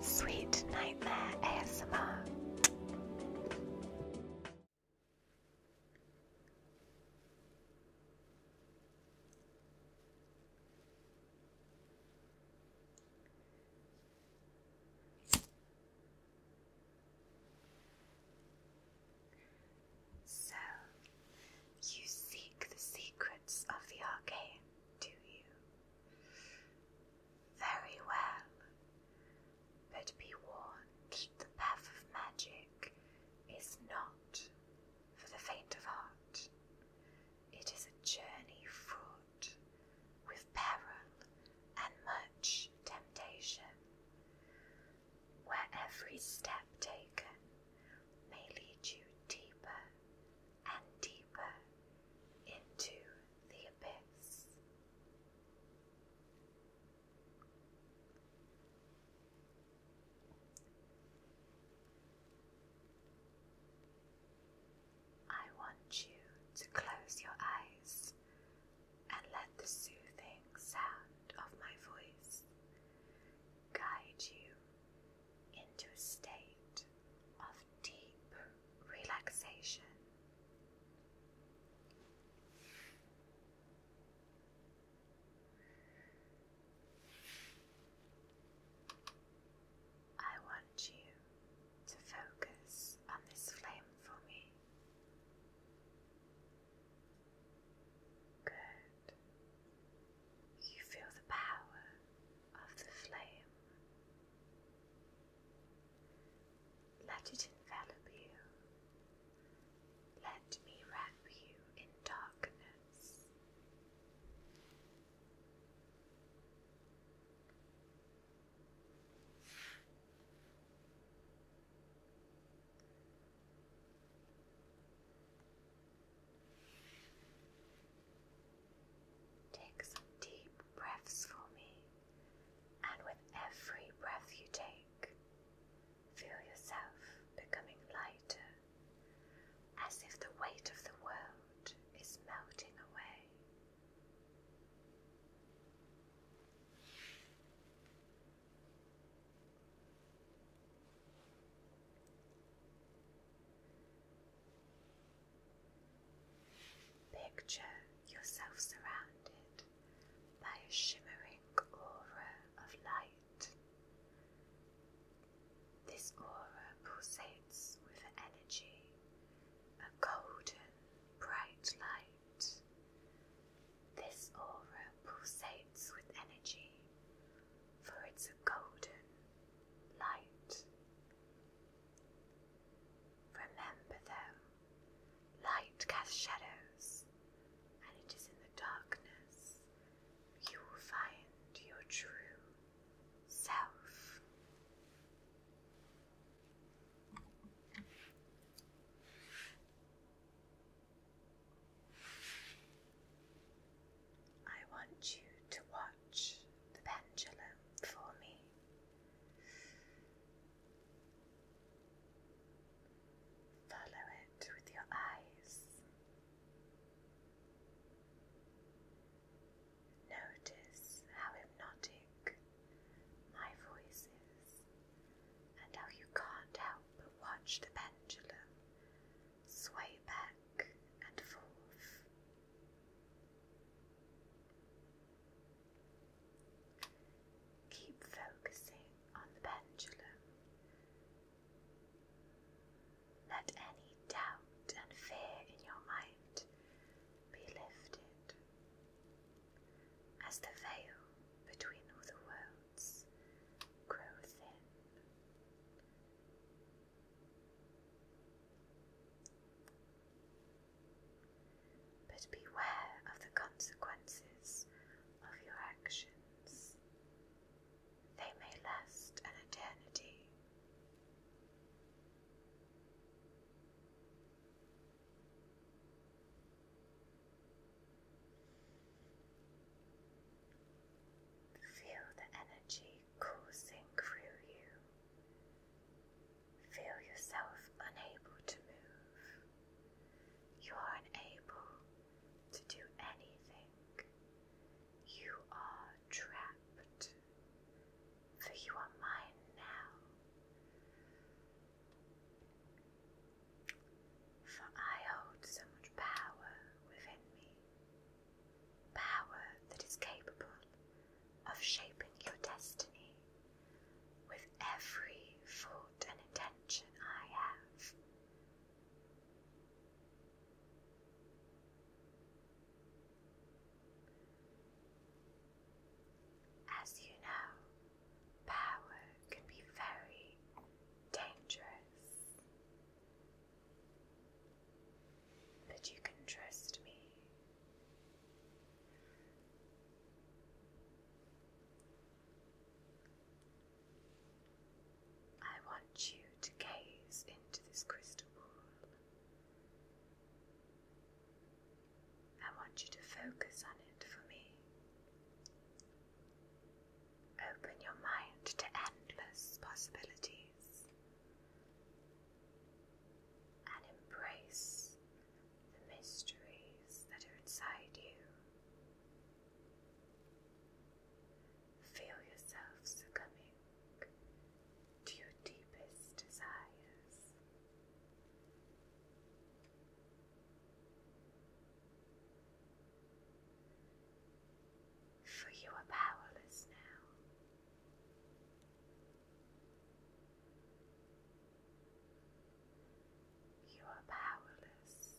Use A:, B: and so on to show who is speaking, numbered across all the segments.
A: Sweet Nightmare ASMR. So, you seek the secrets of the arcane, do you? Very well, but be warned the path of magic is not for the faint of heart. It is a journey fraught with peril and much temptation, where every step taken may lead you deeper and deeper into the abyss. I want you to close your eyes and let the soothing sound of my voice guide you into a state of deep relaxation. I want you to focus on this flame for me. Good. You feel the power of the flame. Let it envelop you. Let me wrap you in darkness. Take some deep breaths for me, and with every breath you take, feel yourself becoming lighter, as if the weight of the world is melting away. Picture yourself surrounded by a shimmering aura of light. This aura pulsates with energy, a golden, bright light. This aura pulsates with energy, for it's a golden light. Remember, though, light casts shadows, and it is in the darkness you will find your true self. I want you to watch the pendulum for me. Follow it with your eyes. Notice how hypnotic my voices, and how you can't help but watch the pendulum sway back and forth. Keep focusing on the pendulum. Let any doubt and fear in your mind be lifted as the veil between all the worlds grow thin. But beware of the consequences of your actions. They may last an eternity. Feel the energy coursing through you. Feel yourself unable to move. You are unable to do anything. You are trapped, for you are mine now. For I hold so much power within me, power that is capable of shaping your destiny with every thought and intention I have. As you know, power can be very dangerous. But you can trust me. I want you to gaze into this crystal pool. I want you to focus on it for me. Open your mind to endless possibilities and embrace the mysteries that are inside you feel yourself succumbing to your deepest desires. For you are powerless now. You are powerless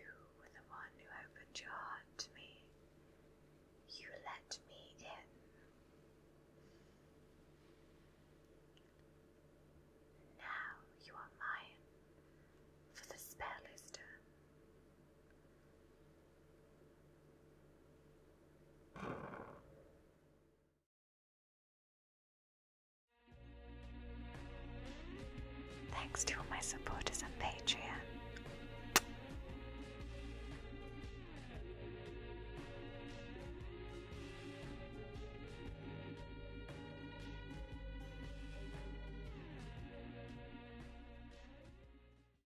A: You were the one who opened your heart to me. You let me in. Now you are mine, for the spell is done. Thanks to all my supporters on Patreon.